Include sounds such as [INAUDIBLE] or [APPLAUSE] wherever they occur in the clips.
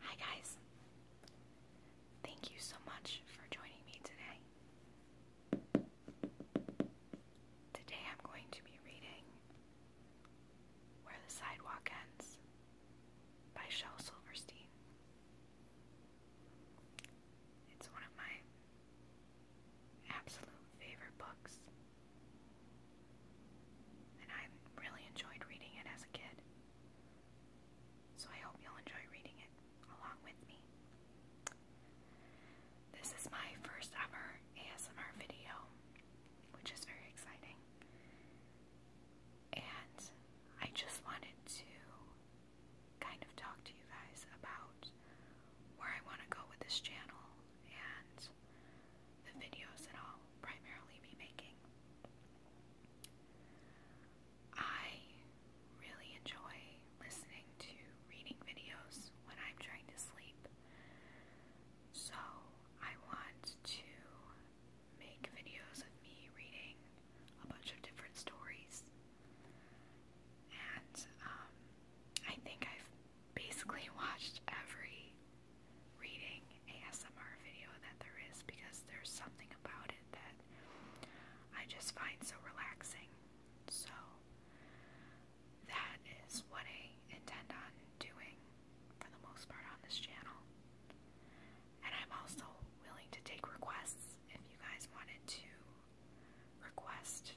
Hi, guys. Thank you so much for joining me today. Today I'm going to be reading Where the Sidewalk Ends by Shel Silverstein. It's one of my absolute favorite books, and I really enjoyed reading it as a kid. So I hope you'll enjoy reading it along with me. This is my first ever ASMR video, which is very exciting. And I just wanted to kind of talk to you guys about where I want to go with this channel and the videos that I'll primarily be making. I really enjoy listening to reading videos when I'm trying to sleep. So I want to make videos of me reading a bunch of different stories. And um, I think I've basically [LAUGHS] watched every reading ASMR video that there is because there's something about it that I just find so relaxing. So that is what I intend on doing for the most part on this channel. And I'm also willing to take requests if you guys wanted to request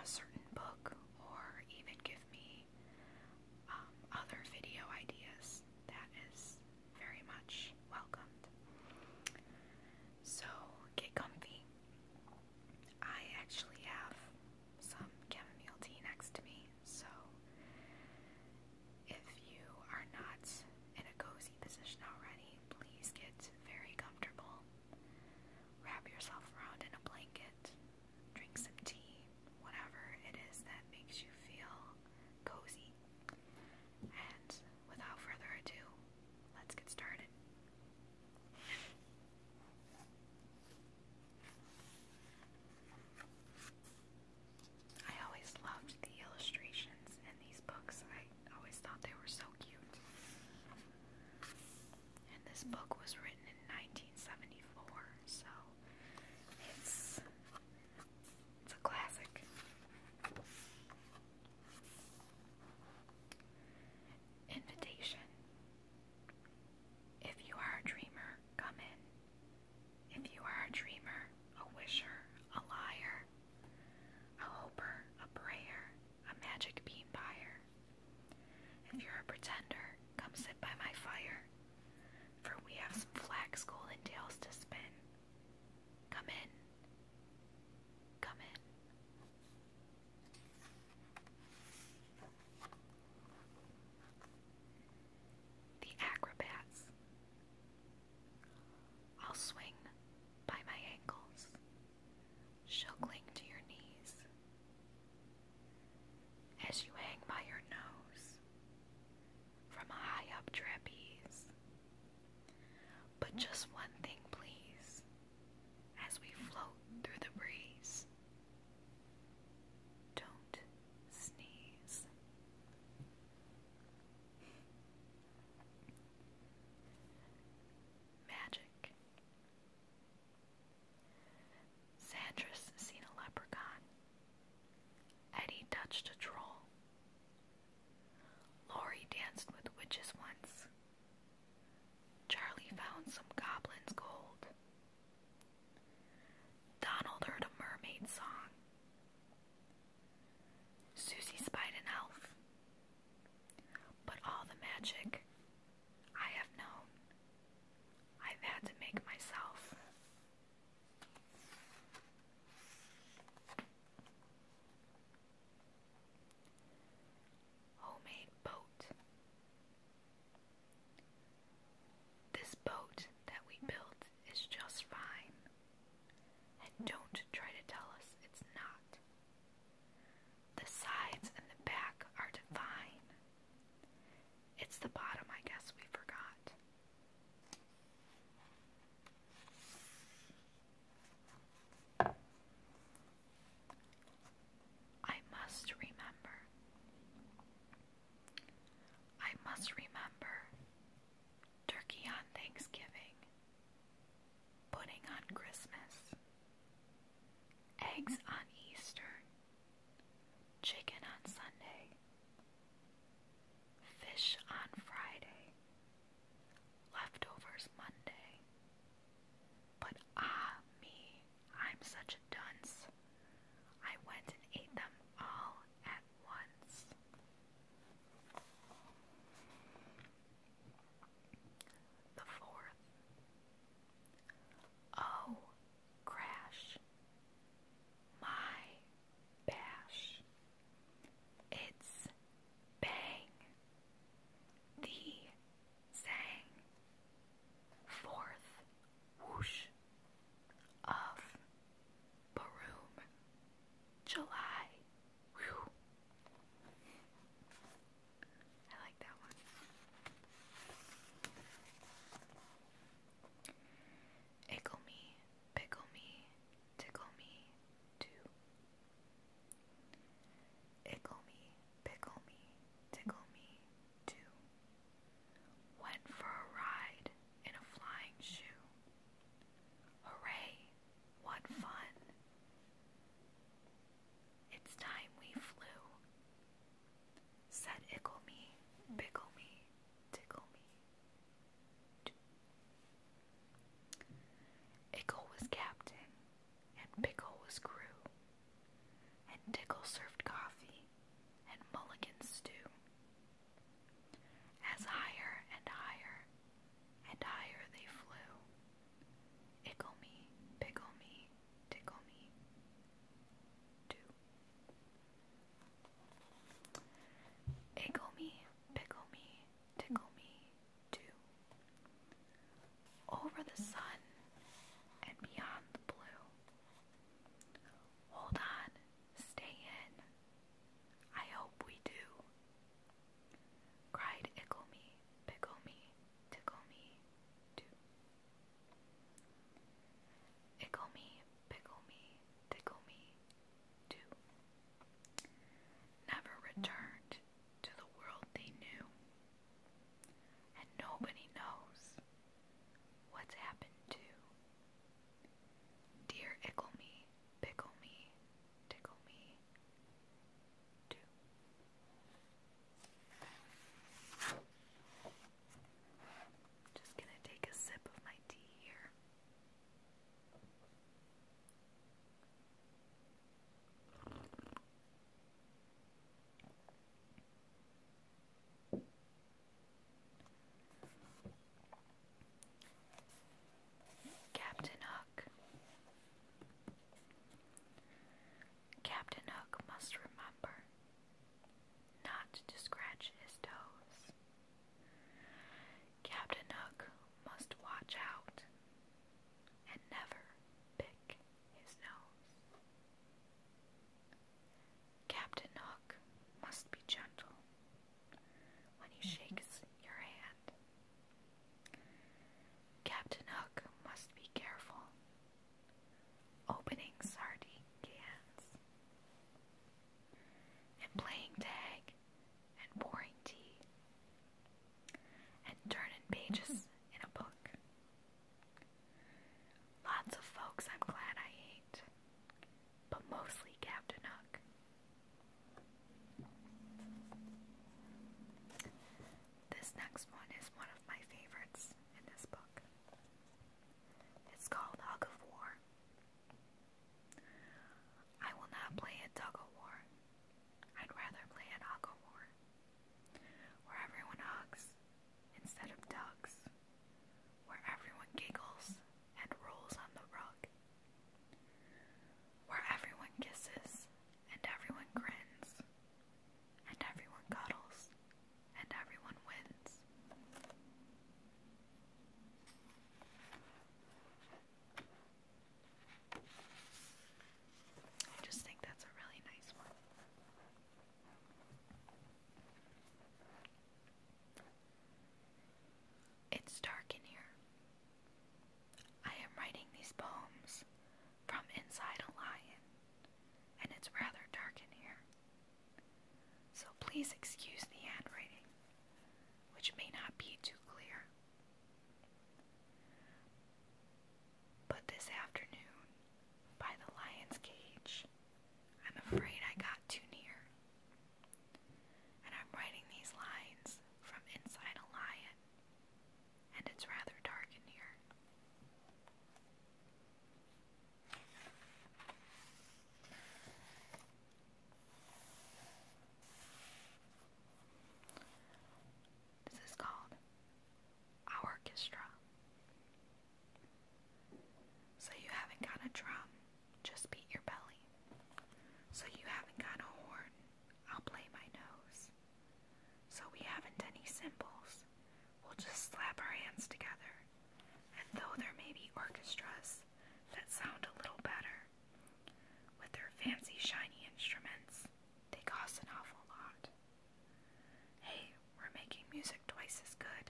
a certain book or even give me um, other video ideas. That is very much welcomed. So get comfy. I actually have some chamomile tea next to me, so if you are not in a cozy position already, please get very comfortable. Wrap yourself around in a blanket, drink some tea, whatever it is that makes you feel cozy. And without further ado, let's get started. I always loved the illustrations in these books. I always thought they were so cute. And this book was written in 1974, so it's it's a classic. Invitation. If you are a dreamer, come in. If you are a dreamer, a wisher, a liar, a hoper, a prayer, a magic bean buyer. If you're a pretender, come sit by my fire for we have some flax, gold, tails to spin. Come in. Come in. The acrobats. I'll swing by my ankles. She'll cling to your knees. As you hang by your nose, from a high up trapeze. But just one thing, please, as we float through the breeze. Don't sneeze. Magic. Sandra's seen a leprechaun Eddie touched a troll. Laurie danced with witches once. Charlie found some goblin's gold. Donald heard a mermaid song. Susie spied an elf. But all the magic I have known, I've had to make myself. Homemade boat. This boat that we built is just fine. And don't try to tell us it's not. The sides and the back are divine. It's the bottom, I guess, we forgot. I must remember. I must remember turkey on Thanksgiving, pudding on Christmas, eggs on Easter, chicken on Sunday, fish on Friday, leftovers Monday. But ah, me, I'm such a dunce. I went and ate them all at once. The fourth. Oh, crash, my bash, it's bang, the sang, fourth whoosh of Baroom, July. I like that one. Ickle me, pickle me, tickle me, too. Ickle me, pickle me, tickle me, too. Went for a ride in a flying shoe. Hooray, what fun! It's time we flew. Said ickle me, pickle Ickle was captain, and pickle was crew, and tickle served coffee, and mulligan stew. As higher and higher and higher they flew, ickle me, pickle me, tickle me. Two. Ickle me, pickle me, tickle me, too. Over the sun and beyond the blue. Hold on, stay in. I hope we do. Cried Ickle me, pickle me, tickle me, too. Ickle me, pickle me, tickle me, too. Never returned to the world they knew. And nobody knows what's happened to. Dear ickle me, pickle me, tickle me, too. Just gonna take a sip of my tea here. Captain Hook. Captain Hook must remember not to scratch his toes. Captain Hook must watch out and never pick his nose. Captain Hook must be gentle when he mm-hmm. shakes your hand. Captain Hook must be careful opening sardine cans, and playing tag, and pouring tea, and turning pages in a book. Lots of folks I'm glad I ate, but mostly Captain Hook. This next one is one of my favorites in this book. It's called Hug of War. I will not play at tug of war. I'd rather play at hug of war, where everyone hugs instead of tugs, where everyone giggles and rolls on the rug, where everyone kisses and everyone grins and everyone cuddles and everyone wins. I just think that's a really nice one. It's dark in here. I am writing these poems from inside a lion, and it's rather dark in here. So please excuse the handwriting, which may not be too clear. But this afternoon, by the lion's cage, I'm afraid I got too near. And I'm writing these lines from inside a lion, and it's rather dark in here. This is called our orchestra. So you haven't got a drum, just beat your belly. So you haven't got a horn, I'll play my nose. So we haven't any cymbals, We'll just slap our hands together. And though there may be orchestras that sound a little better, with their fancy shiny instruments, they cost an awful lot. Hey, we're making music twice as good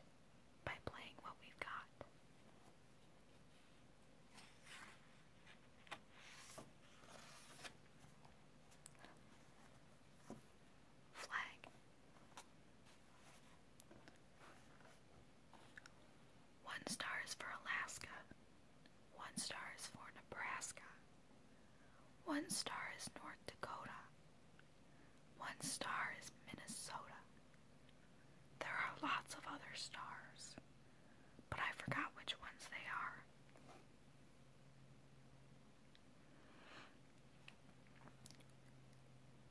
by playing what we've got. Flag. One star is for Alaska. One star is for Nebraska. One star is North Dakota. One star is Minnesota. There are lots of other stars, but I forgot which ones they are.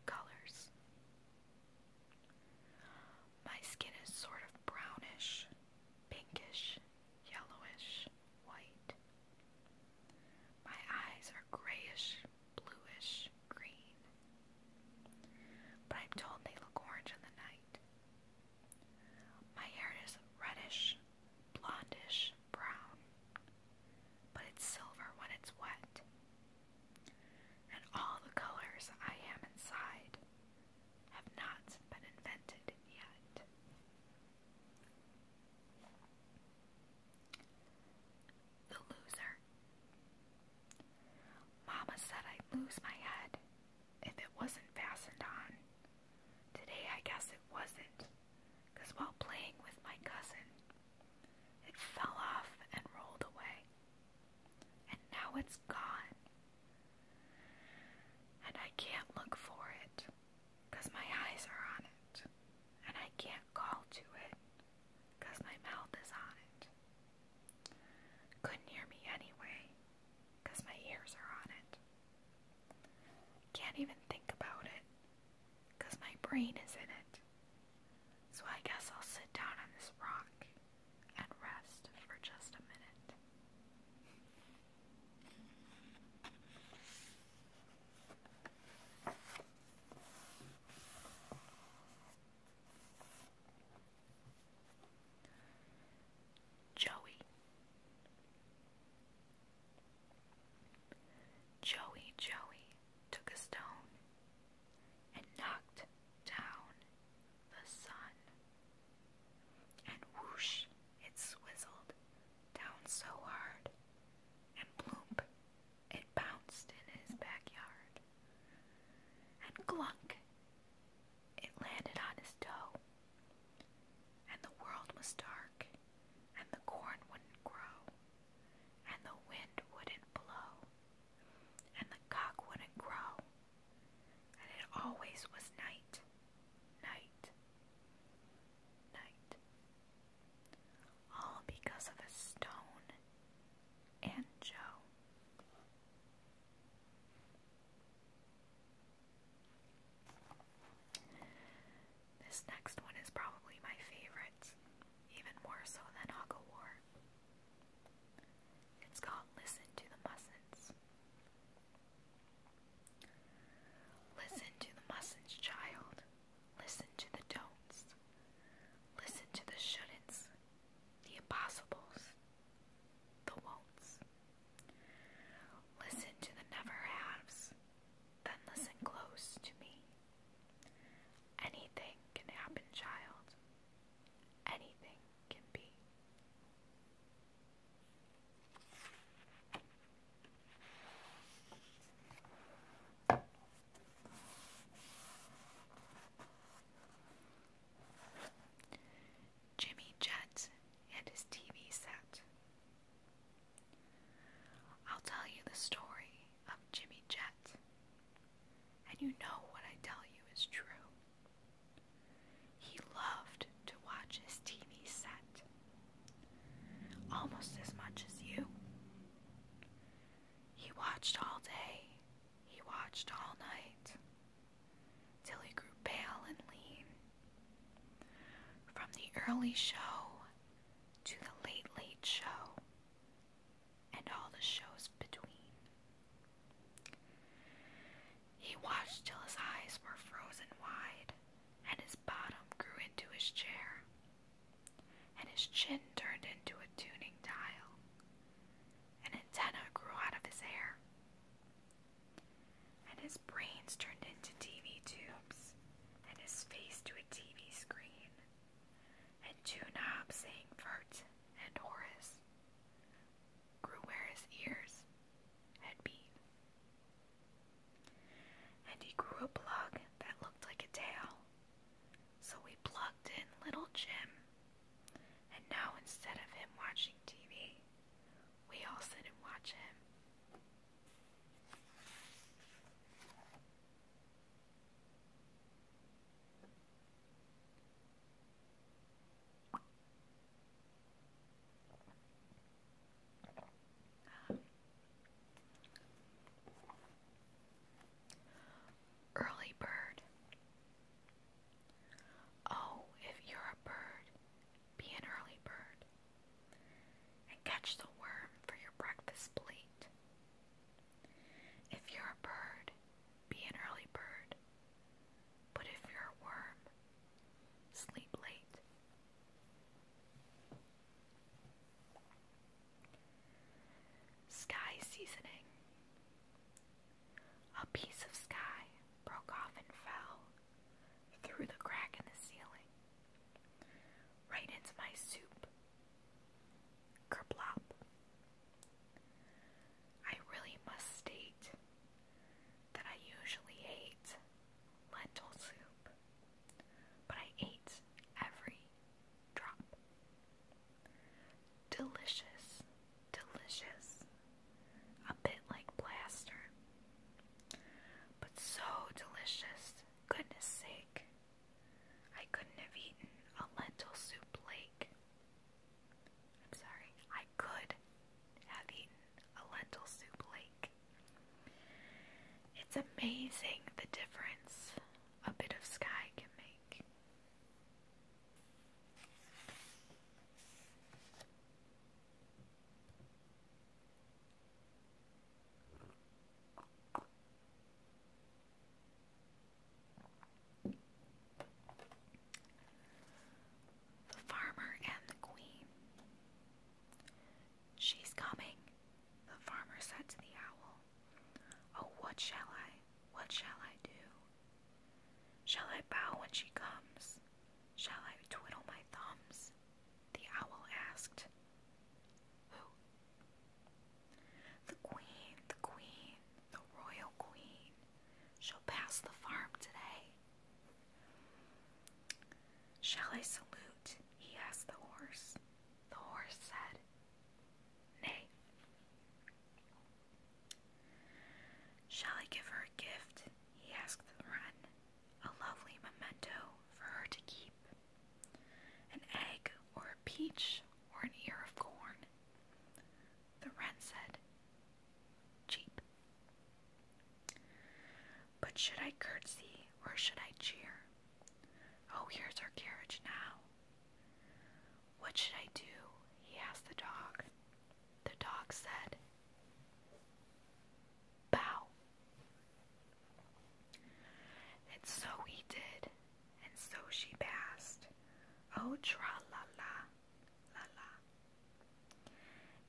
Colors. My skin is sort of brownish, pinkish, yellowish, white. My eyes are grayish, bluish, green. But I'm told they look orange in the night. My hair is reddish, blondish, brown, but it's silver when it's wet. And all the colors I am inside have not been invented yet. The loser. Mama said I'd lose my head if it wasn't fastened on. Today I guess it wasn't, because while playing with my cousin, it fell off and rolled away. And now it's gone. And I can't look for it, because my eyes are on it. And I can't call to it, because my mouth is on it. Couldn't hear me anyway, because my ears are on it. Can't even think about it, because my brain is in it. So I guess I'll sit down on this rock and rest for just a minute. Joey. Joey Joey took a stone and knocked down the sun, and whoosh, it swizzled down so hard, and bloomp, it bounced in his backyard, and glunk, it landed on his toe, and the world was dark, and the corn wouldn't grow and the wind wouldn't blow, and the cock wouldn't crow, and it always was night, night, night. All because of a stone and Joe. This next one is probably my favorite, even more so than Hugga War. It's called Listen to the Mussins. Listen to the mustn'ts, child. Listen to the don'ts. Listen to the shouldn'ts, the impossibles, the won'ts. Listen to the never haves, then listen close to me. Anything can happen, child. Anything can be. Jimmy Jett and his TV set. I'll tell you the story of Jimmy Jet, and you know what I tell you is true. He loved to watch his TV set, almost as much as you. He watched all day, he watched all night, till he grew pale and lean. From the early show to The Late Late Show and all the shows between. He watched till his eyes were frozen wide and his bottom grew into his chair and his chin turned into a tuning dial. An antenna grew out of his hair. And his brains turned into TV tubes and his face to a TV screen, and two knobs saying Vert and Horace grew where his ears had been. And he grew a plug that looked like a tail, so we plugged in little Jim, and now instead of him watching TV, we all sit and watch him. Early bird. Oh, if you're a bird, be an early bird and catch the worm for your breakfast plate. If you're a bird, be an early bird. But if you're a worm, sleep late. Sky seasoning. A piece of sky broke off and fell through the crack in the ceiling. Right into my soup. Kerplop. I really must state that I usually hate lentil soup, but I ate every drop. Delicious, delicious, a bit like plaster, but so delicious Goodness sake, I couldn't have eaten a lentil soup lake. I'm sorry, I could have eaten a lentil soup lake. It's amazing the difference a bit of sky can make. The farmer and the queen. She's coming, the farmer said to the owl. Oh, what shall I, what shall I do? Shall I bow when she comes? Shall I twiddle my thumbs? The owl asked. Who? The queen, the queen, the royal queen. She'll pass the farm today. Shall I salute? He asked the horse. The horse said, Nay. Shall I give her a gift? He asked the wren a lovely memento for her to keep. An egg, or a peach, or an ear of corn. The wren said, Cheap. But should I curtsy or should I cheer? Oh, here's our carriage now. What should I do? He asked the dog. The dog said, Bow. And so he did, and so she passed. Oh, tra la la, la la.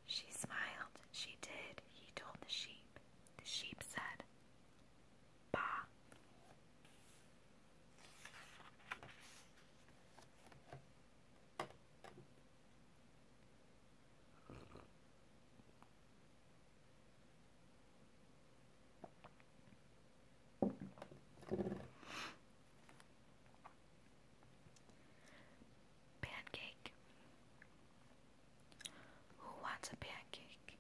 She smiled, she did, he told the sheep. The sheep said, Bah. Pancake. Who wants a pancake?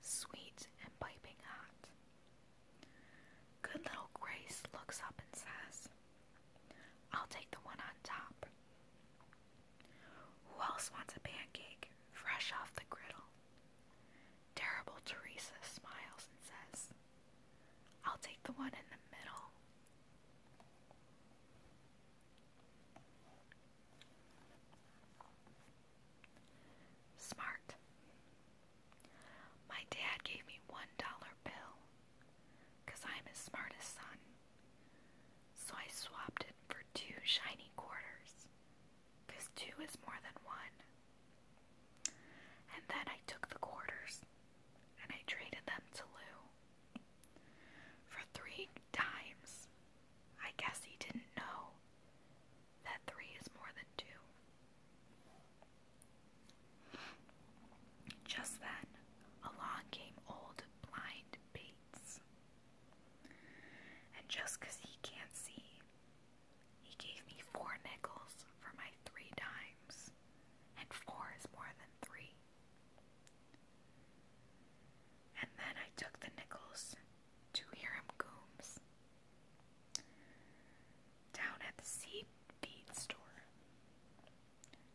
Sweet and piping hot. Good little Grace looks up and says, I'll take the one on top. Who else wants a pancake fresh off the griddle? Terrible Teresa smiles and says, I'll take the one in the middle. Smart. My dad gave me one dollar bill because I'm his smartest son. So I swapped it for two shiny quarters, because two is more than one. And then I took the quarters and I traded them to Lou. For three dimes. I guess he didn't know that three is more than two. Just then, along came old blind Pete lights. And just because he can't see, he gave me four nickels for my three dimes, and four is more than three. And then I took the nickels to Hiram Coombs down at the seed feed store,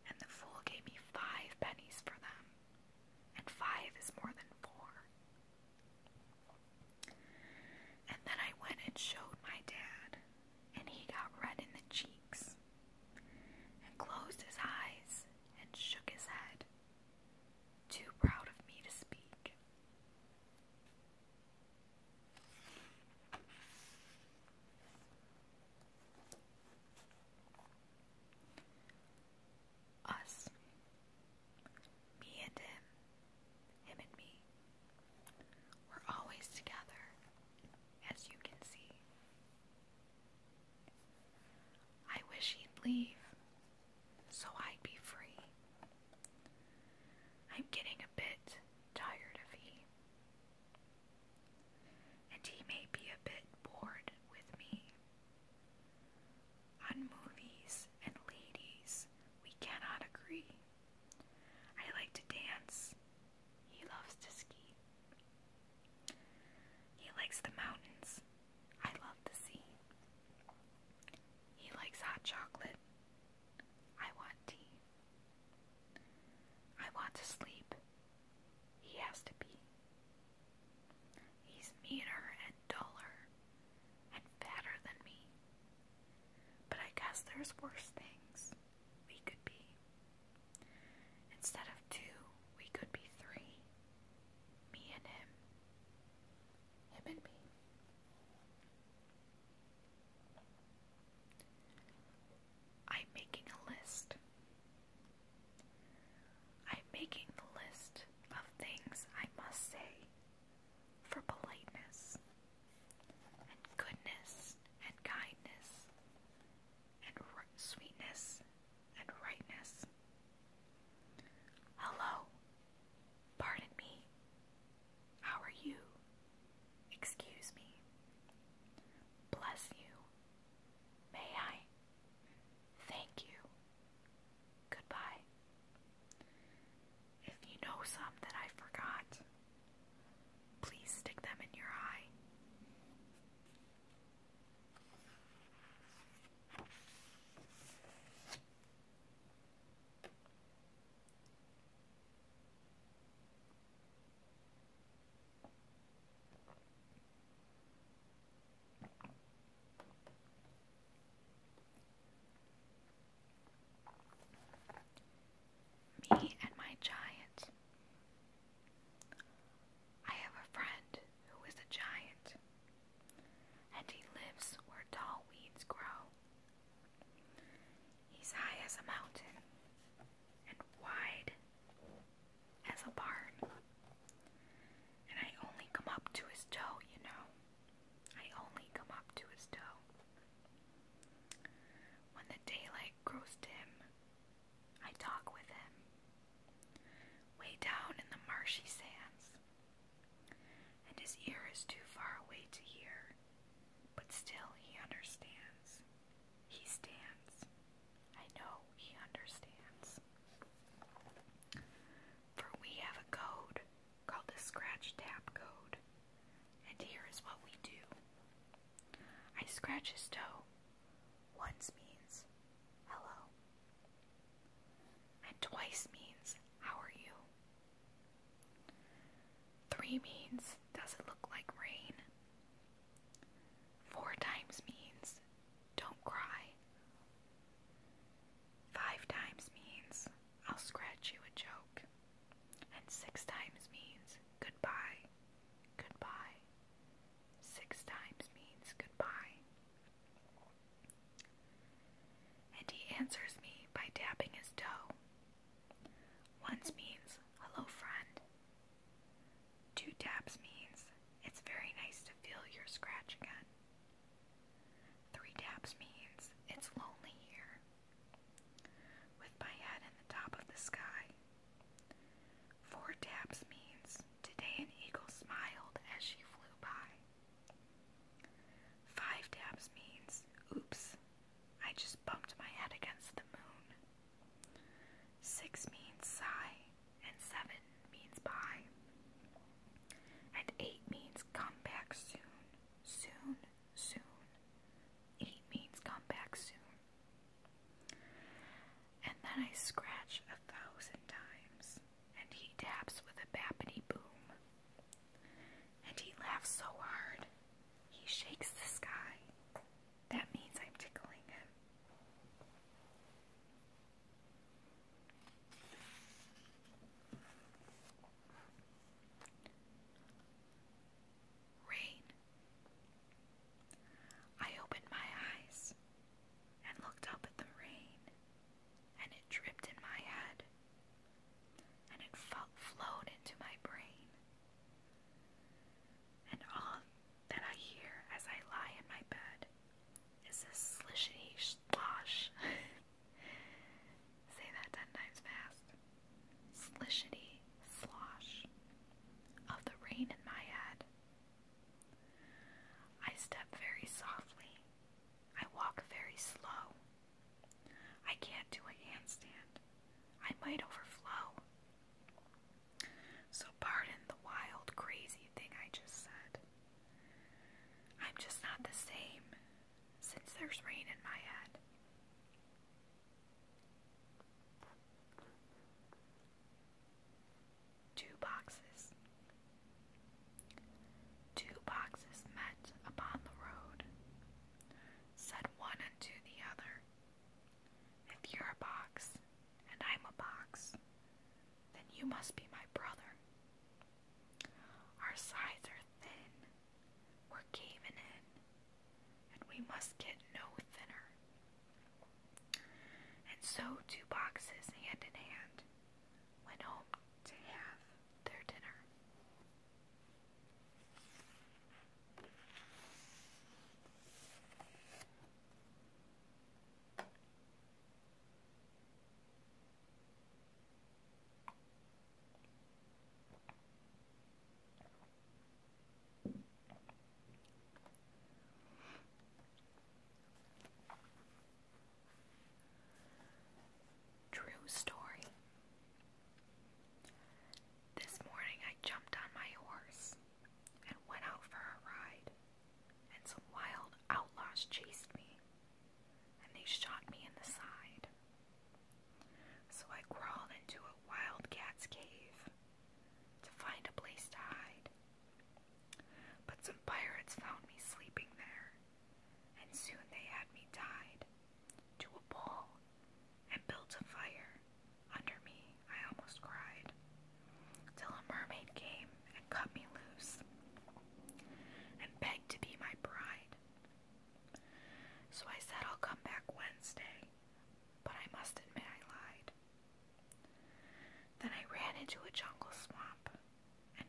and the fool gave me five pennies for them and five is more than four. And then I went and showed my dad, and he got red in the cheeks, and closed his eyes, and shook his head, too proud of me to speak. Us. Me and him. Him and me. We're always together, as you can see. I wish he'd leave, so I'd be free. I'm getting a bit tired of he. And he may be a bit bored with me. On movies and ladies, we cannot agree. I like to dance. He loves to ski. He likes the mountains. I love the sea. He likes hot chocolate. I want tea. I want to sleep. He has to be. He's meaner and duller and fatter than me. But I guess there's worse things we could be. Instead of two, we could be three. Me and him. Him and me. I'm making a list. I'm making the list of things I must say for politeness and goodness and kindness and sweetness and rightness. Hello, pardon me, how are you? Excuse me, bless you, may I? Thank you. Goodbye. If you know some that I forgot, please stick them in your eye. Me and my giant. I have a friend who is a giant, and he lives where tall weeds grow. He's high as a mountain and wide as a barn. And I only come up to his toe, you know. I only come up to his toe. When the daylight grows dim, I talk with him. Way down in the marshy sands. And his ear is too far away to hear, but still he understands. He stands. I know he understands. For we have a code called the scratch tap code. And here is what we do. I scratch his toe. Once means hello. And twice means how are you? Three means does it look like rain? Four times means don't cry. Five times means I'll scratch you a joke, and six times means goodbye, goodbye. Six times means goodbye. And he answers me by tapping his toe. Once means hello, friend. Two taps means it's very nice to feel your scratch again. Three taps means it's lonely here. With my head in the top of the sky. Four taps means today an eagle smiled as she flew by. Five taps means oops, I just bumped my head against the moon. Six means sigh, and seven means bye, and eight means come back soon, soon, soon. Eight means come back soon. And then I scratch a thousand times, and he taps with a bappity boom. And he laughs so hard, he shakes the sky. That means I'm tickling him. Rain. I opened my eyes and looked up at the rain, and it dripped in my head, and it flowed into my brain, and all that I hear as I lie in my bed is this slishity slosh. [LAUGHS] Say that ten times fast. Slishity slosh of the rain in my head. I step very softly. I walk very slow. I can't do a handstand. I might overflow. So pardon the wild, crazy thing I just said. I'm just not the same since there's rain in my head. Two boxes. Two boxes met upon the road. Said one unto the other, if you're a box and I'm a box, then you must be my brother. Our sides are thin, we're caving in, and we must get no thinner. And so two boxes hand in hand went home to have their dinner. True story. This morning I jumped on my horse and went out for a ride, and some wild outlaws chased me, and they shot me in the side. So I crawled into a wildcat's cave to find a place to hide. But some pirates found me sleeping there, and soon they had me tied to a pole and built a fire under me, I almost cried, till a mermaid came and cut me loose, and begged to be my bride. So I said I'll come back Wednesday, but I must admit I lied. Then I ran into a jungle swamp, and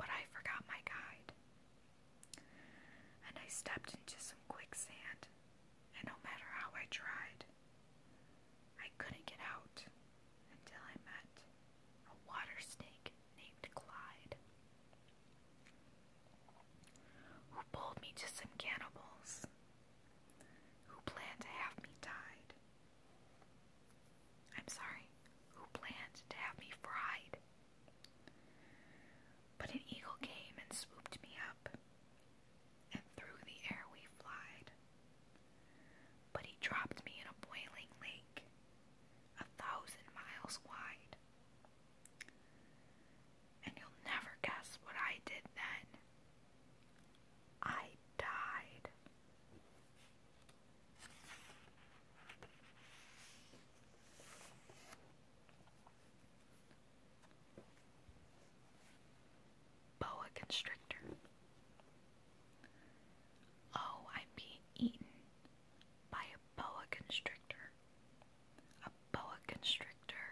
but I forgot my guide. And I stepped into some quicksand, and no matter how I tried, I couldn't get out until I met a water snake named Clyde, who pulled me to some cannibals who planned to have me tied. I'm sorry, who planned to have me fried. But an eagle came and swooped me up and through the air we flied. But he dropped me in a boiling lake, a thousand miles wide. And you'll never guess what I did then. I died. Boa constrictor. Oh, I'm being eaten by a boa constrictor. A boa constrictor.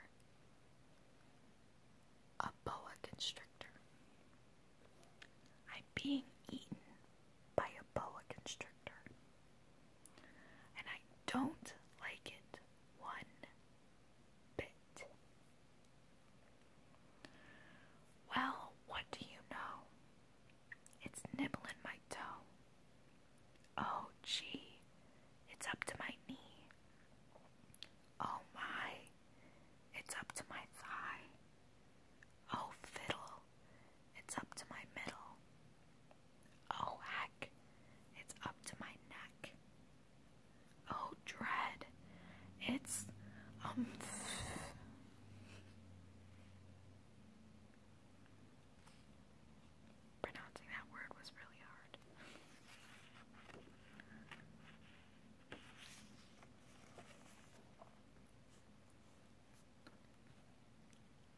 A boa constrictor. I'm being eaten by a boa constrictor. And I don't like it one bit. Well, what do you know? It's nibbling my toe. Oh, gee, it's up to my knee. Oh, my, it's up to my thigh. Oh, fiddle, it's up to my middle. Oh, heck, it's up to my neck. Oh, dread. It's um pronouncing that word was really hard.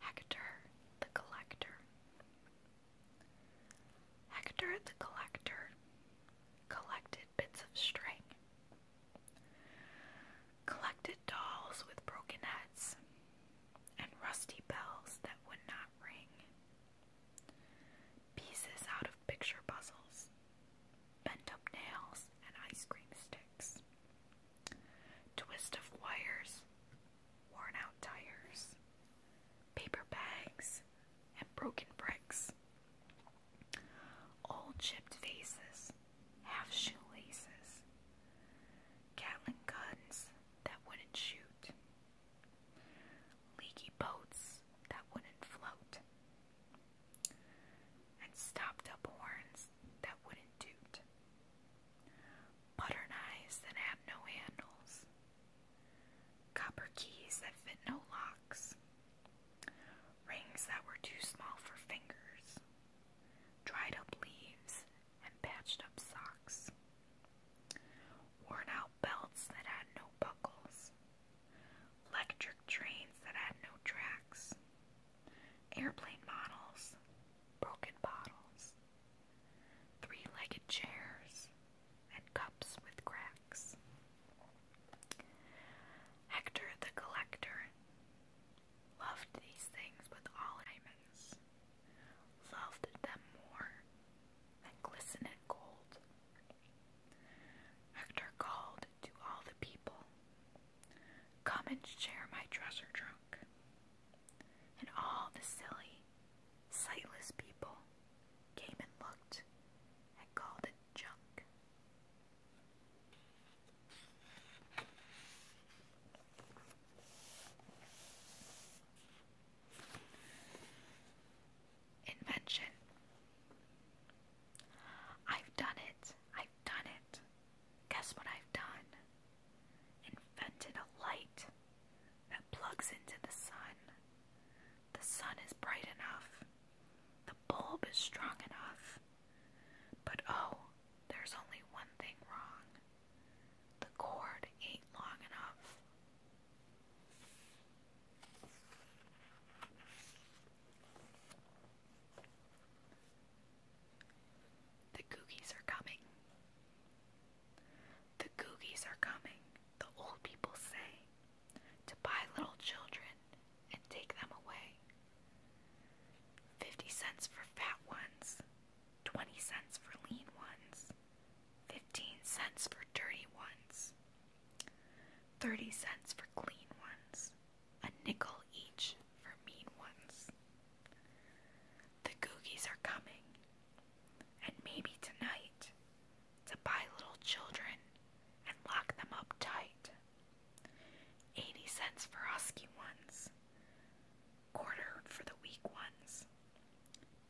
Hector the Collector. Hector the Collector collected bits of string, collected dolls with broken heads, and rusty bells that would not ring, pieces out of picture puzzles, bent up nails and ice cream sticks, twist of wires, worn out tires, paper bags, and broken bricks. Old chipped vases, half shoelaces, Gatling guns that wouldn't shoot, leaky boats that wouldn't float, and stopped up horns that wouldn't toot, butter knives that have no handles, copper keys that fit no locks, rings that were too small for fingers, dried up leaves and patched up socks, worn out belts that had no buckles, electric trains that had no tracks, airplane models, broken bottles, three legged chairs, and cups with cracks. Hector the collector loved these things with all diamonds, loved them more than glistening gold. Hector called to all the people, Come and share my treasure trunk. And all the silly sightless people came and looked and called it junk. Invention. I've done it. I've done it. Guess what I've done? Invented a light that plugs into the sun the sun is bright enough. The bulb is strong enough. But oh, there's only one thing wrong. The cord ain't long enough. The cookies are coming. The Googies are coming, the old people say, to buy little children and take them away. Fifty cents for fat ones, twenty cents for lean ones, fifteen cents for dirty ones, thirty cents for clean ones, a nickel each for mean ones. The Googies are coming, and maybe tonight to buy little children and lock them up tight. Eighty cents for husky ones, quarter for the weak ones,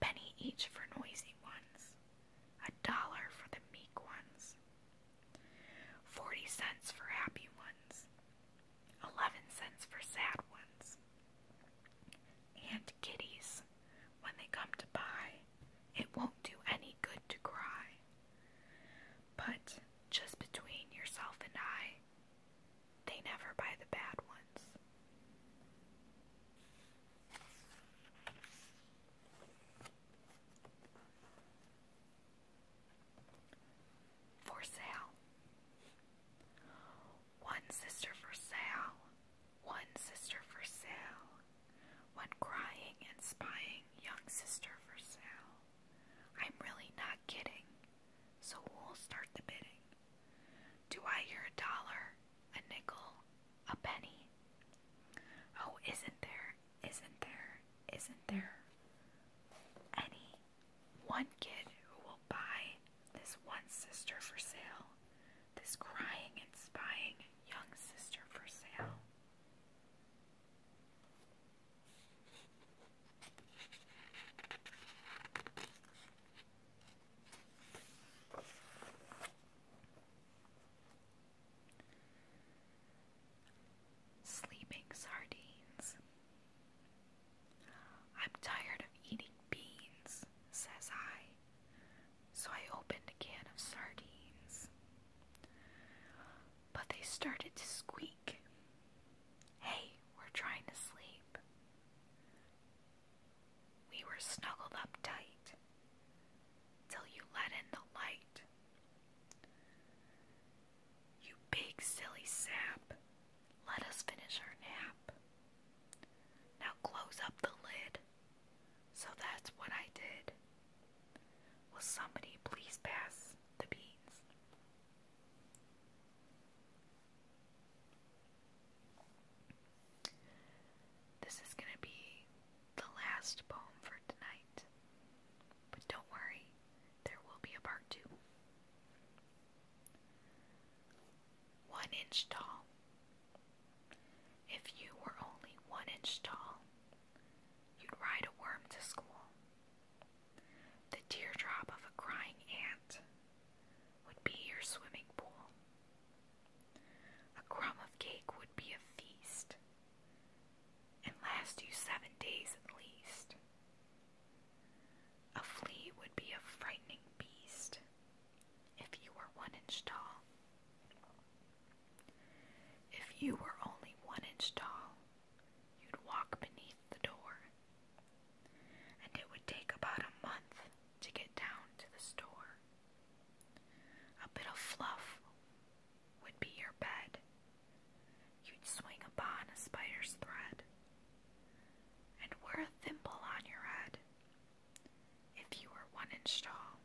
penny each for noisy ones, a dollar for the meek ones, forty cents for happy ones, eleven cents for sad ones, and kitties when they come to buy, it won't do any good to cry. But just between yourself and I, they never buy the bad ones. For sale. One sister for sale, one sister for sale, one crying and spying young sister for sale. I'm really not kidding, so we will start the bidding? Do I hear a dollar, a nickel, a penny? Oh, isn't there, isn't there, isn't there any one kid who will buy this one sister for sale, this crying and spying young sister for sale. Sleeping sardines. I'm tired of eating beans, says I so I opened a can of sardines. But they started to squeak. Hey, we're trying to sleep. We were snuggled up tight till you let in the light. You big silly sap, let us finish our nap. Now close up the lid so that's what I did. Will somebody please pass the beans? This is going to be the last poem for tonight. But don't worry, there will be a part two one inch tall. If you were only one inch tall, you'd ride a worm to school. The teardrop of a crying ant would be your swimming pool. A crumb of cake would be a feast and last you seven days at least. A flea would be a frightening beast if you were one inch tall. If you were only one inch tall, you'd walk beneath the door, and it would take about a month to get down to the store. A bit of fluff would be your bed. You'd swing upon a spider's thread, and wear a thimble on your head if you were one inch tall,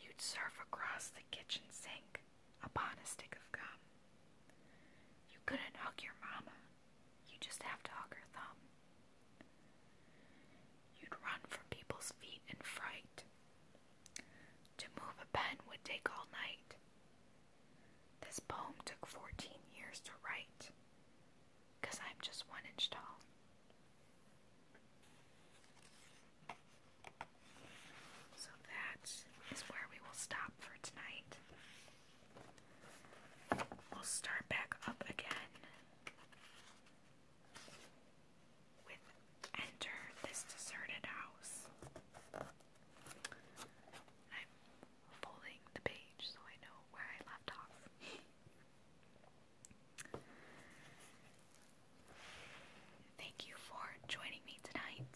you'd surf across the kitchen sink upon a stick of gum. You couldn't hug your mama, you just have to hug her thumb. You'd run from people's feet in fright. To move a pen would take all night. This poem took 14 years to write because I'm just one inch tall. So that is where we will stop for tonight. We'll start back up again with Enter This Deserted House folding the page so I know where I left off. Thank you for joining me tonight.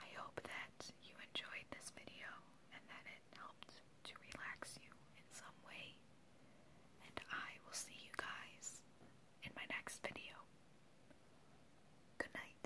I hope that you enjoyed this video and that it helped to relax you in some way. And I will see you guys in my next video. Good night.